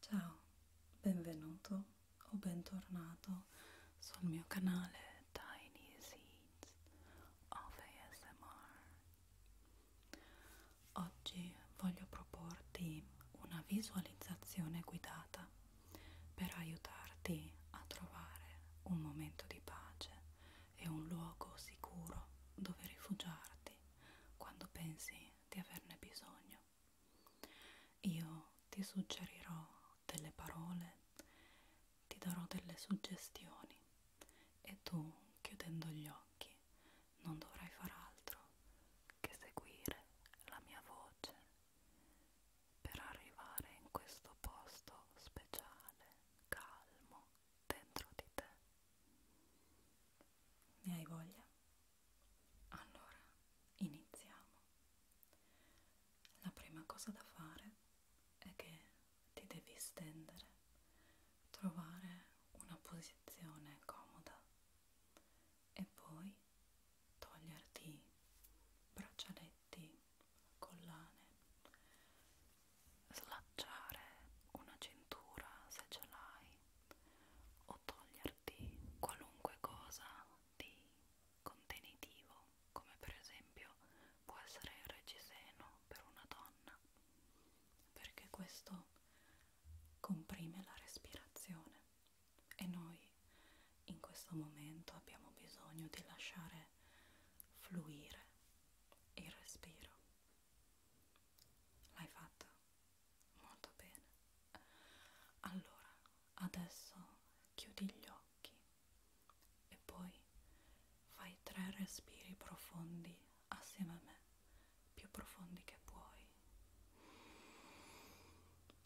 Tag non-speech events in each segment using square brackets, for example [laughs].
Ciao, benvenuto o bentornato sul mio canale Tiny Seeds of ASMR. Oggi voglio proporti una visualizzazione guidata per aiutarti a trovare un momento di pace e un luogo sicuro dove rifugiarti quando pensi di averne bisogno. Io ti suggerirò delle parole, ti darò delle suggestioni e tu, chiudendo gli occhi, non dovrai far altro che seguire la mia voce per arrivare in questo posto speciale, calmo, dentro di te. Ne hai voglia? Allora, iniziamo. La prima cosa da fare è che ti devi stendere, trovare una posizione comoda e poi toglierti braccialetti, collane slacciare una cintura se ce l'hai o toglierti qualunque cosa di contenitivo come per esempio può essere il reggiseno per una donna perché questo comprime la respirazione e noi in questo momento abbiamo bisogno di lasciare fluire il respiro. L'hai fatta? Molto bene. Allora, adesso chiudi gli occhi e poi fai tre respiri profondi assieme a me, più profondi che puoi.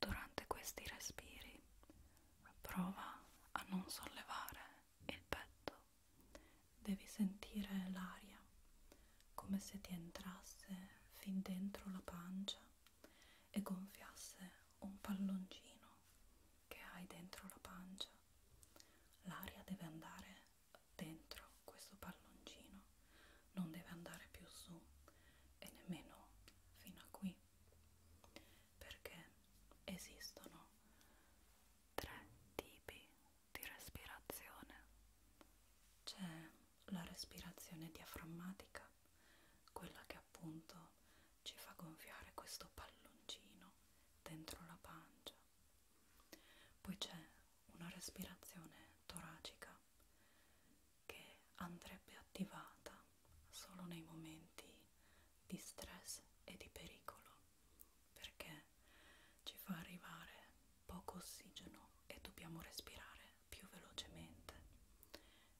Durante questi respiri prova a non sollevare il petto, devi sentire l'aria come se ti entrasse fin dentro la pancia e gonfiasse un palloncino che hai dentro la pancia. L'aria deve andare dentro questo palloncino non deve andare più su e nemmeno fino a qui perché esistono tre tipi di respirazione c'è la respirazione diaframmatica quella che appunto ci fa gonfiare questo palloncino dentro la pancia poi c'è una respirazione toracica che andrebbe attivata solo nei momenti di stress e di pericolo perché ci fa arrivare poco ossigeno e dobbiamo respirare più velocemente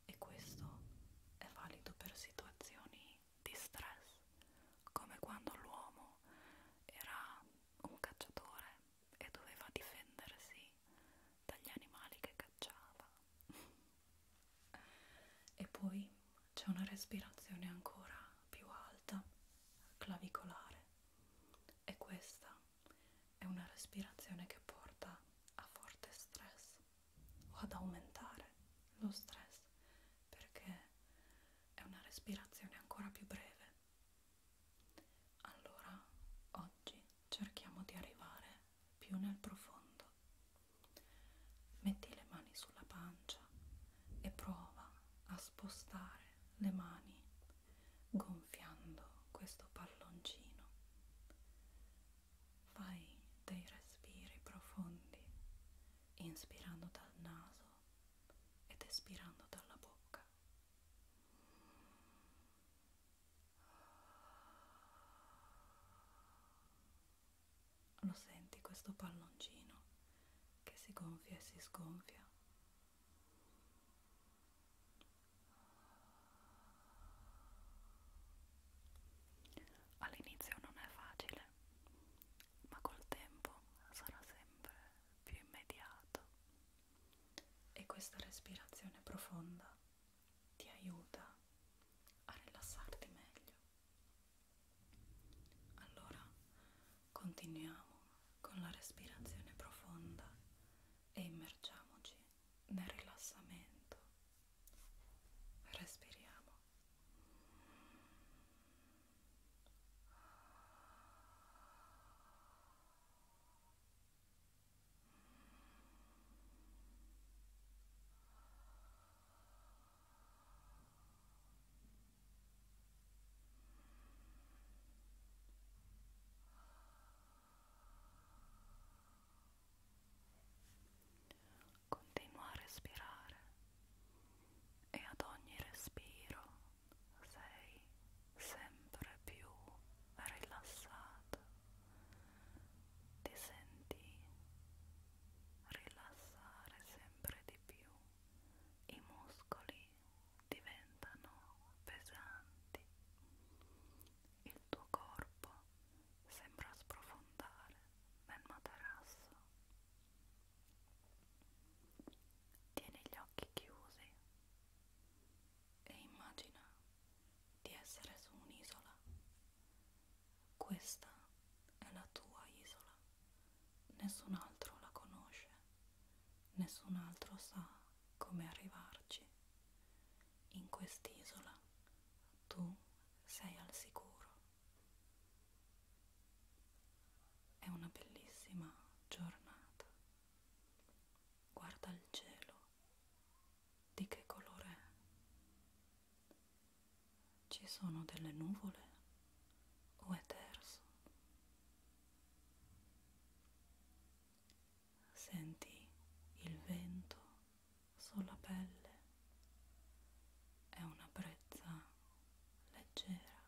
e questo è valido per situazioni di stress come quando l'uomo era un cacciatore e doveva difendersi dagli animali che cacciava. e poi c'è una respirazione ancora più alta, clavicolare, e questa è una respirazione che porta a forte stress o ad aumentare lo stress perché è una respirazione ancora più breve allora, oggi cerchiamo di arrivare più nel profondo. Metti le mani sulla pancia e prova a spostare le mani gonfiando questo palloncino. Fai dei respiri profondi, inspirando dal naso ed espirando dalla bocca. Lo senti questo palloncino che si gonfia e si sgonfia. All'inizio non è facile, ma col tempo sarà sempre più immediato e questa respirazione profonda ti aiuta a rilassarti meglio. Allora continuiamo con la respirazione profonda e immergiamoci nel rilassamento. Respiriamo. Continua a respirare e ad ogni respiro sei sempre più rilassato, ti senti rilassare sempre di più, i muscoli diventano pesanti, il tuo corpo sembra sprofondare nel materasso Tieni gli occhi chiusi e immagina di essere su un'isola. Questa è la tua isola. Nessun altro la conosce, nessun altro sa come arrivarci. In quest'isola tu sei al sicuro. È una bellissima giornata. Guarda il cielo. Di che colore è? Ci sono delle nuvole o è terzo? Senti il vento sulla pelle è una brezza leggera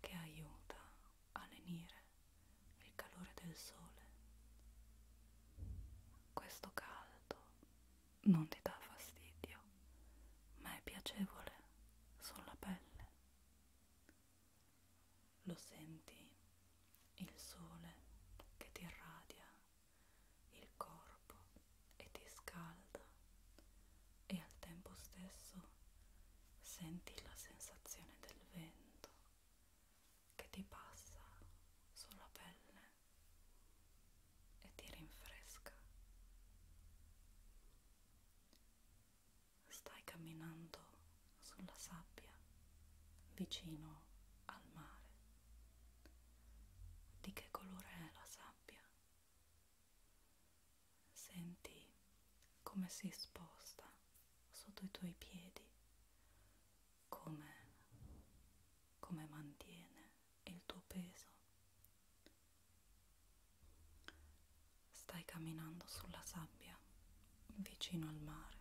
che aiuta a lenire il calore del sole. Questo caldo non ti dà fastidio, ma è piacevole sulla pelle. Lo senti il sole che ti irradia il corpo e ti scalda e al tempo stesso senti la sensazione del vento che ti passa sulla pelle e ti rinfresca. Stai camminando sulla sabbia vicino al mare. Di che colore è la sabbia? Senti come si sposta sotto i tuoi piedi, come, come mantiene il tuo peso. Stai camminando sulla sabbia vicino al mare,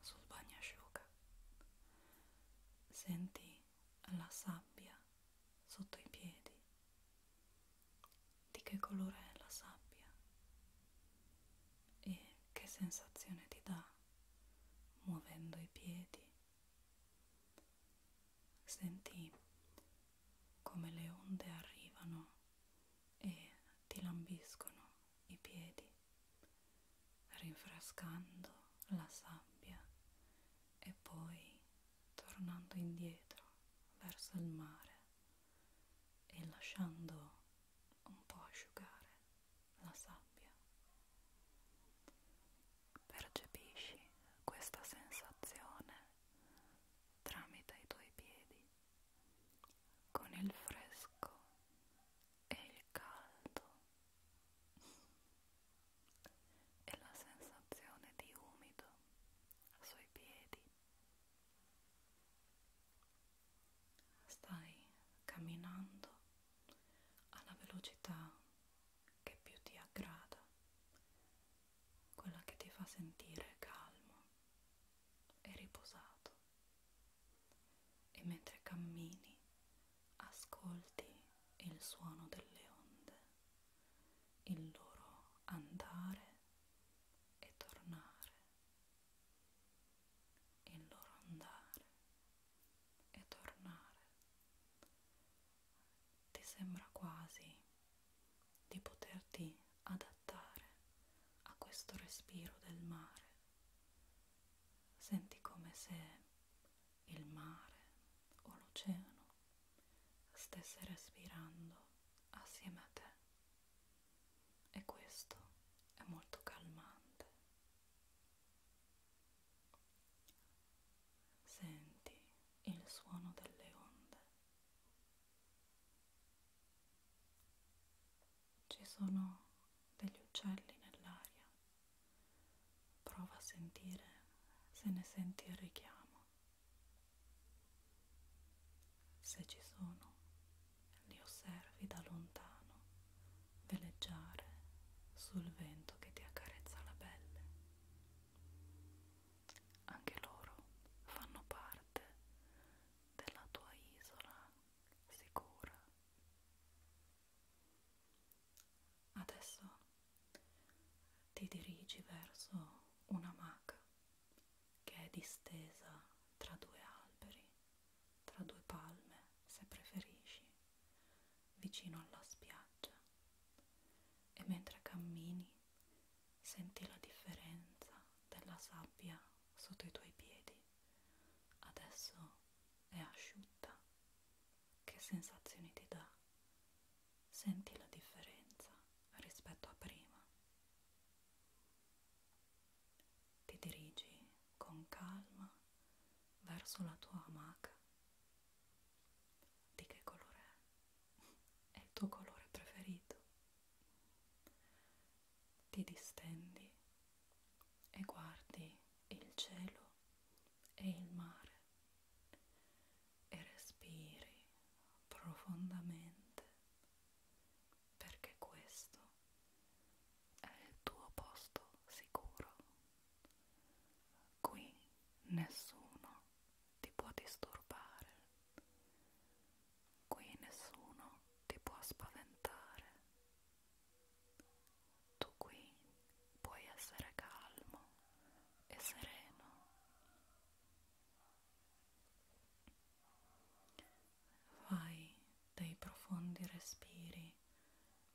sul bagnasciuga. Senti la sabbia sotto i piedi. Di che colore è la sabbia? E che sensazione ti dà muovendo i piedi? Senti come le onde arrivano e ti lambiscono i piedi rinfrescando la sabbia e poi tornando indietro verso il mare e lasciando un po' asciugare la sabbia. Percepisci questa sensazione tramite i tuoi piedi con il fresco è il caldo e la sensazione di umido sui piedi. Stai camminando alla velocità che più ti aggrada, quella che ti fa sentire calmo e riposato e mentre cammini ascolti il suono delle onde, il loro andare e tornare, il loro andare e tornare. Ti sembra quasi di poterti adattare a questo respiro del mare Senti come se il mare o l'oceano stesse respirando assieme a te e questo è molto calmante. Senti il suono delle onde ci sono degli uccelli nell'aria. Prova a sentire se ne senti il richiamo. Se ci sono, li osservi da lontano veleggiare sul vento che ti accarezza la pelle. Anche loro fanno parte della tua isola sicura. Adesso ti dirigi verso una maca che è distesa tra due alberi, tra due palme, se preferisci, vicino alla spiaggia. E mentre cammini senti la differenza della sabbia sotto i tuoi piedi adesso è asciutta. Che sensazioni ti dà? Senti la differenza rispetto a prima. Ti dirigi con calma verso la tua amaca. Di che colore è? [laughs] È il tuo colore preferito? Ti distendi e guardi il cielo e il mare e respiri profondamente perché questo è il tuo posto sicuro. Qui nessuno ti può disturbare qui nessuno ti può spaventare. Tu qui puoi essere calmo e sereno. Fai dei profondi respiri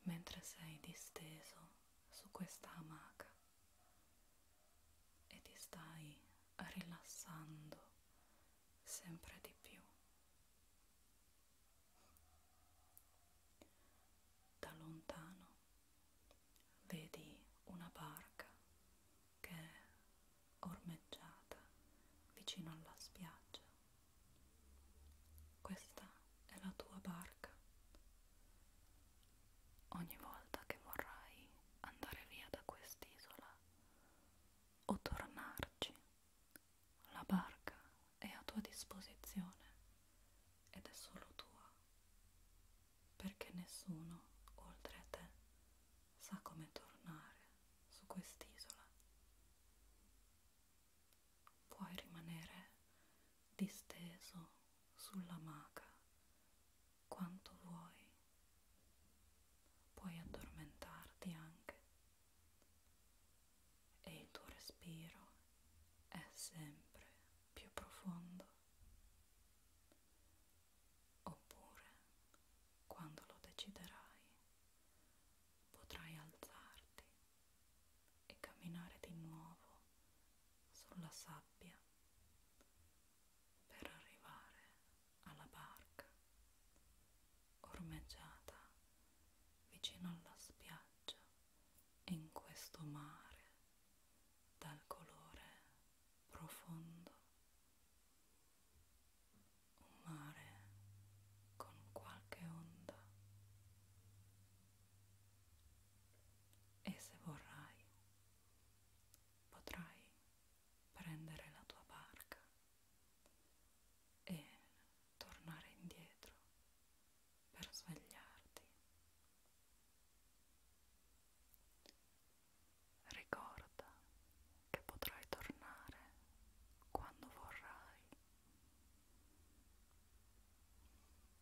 mentre sei disteso su questa amaca e ti stai rilassando sempre di più. Da lontano vedi una barca che è ormeggiata vicino alla spiaggia. Questa è la tua barca. Ogni volta che vorrai andare via da quest'isola o tornarci. La barca è a tua disposizione ed è solo tua, perché nessuno oltre a te sa come tornare su quest'isola. Puoi rimanere disteso sulla maca quanto vuoi. Puoi addormentarti anche e il tuo respiro è sempre più profondo. Oppure, quando lo deciderai, potrai alzarti e camminare di nuovo sulla sabbia per arrivare alla barca ormeggiata vicino alla spiaggia in questo mare dal colore profondo un mare con qualche onda e se vorrai potrai prendere la tua barca e tornare indietro per svegliarti. Ricorda che potrai tornare quando vorrai.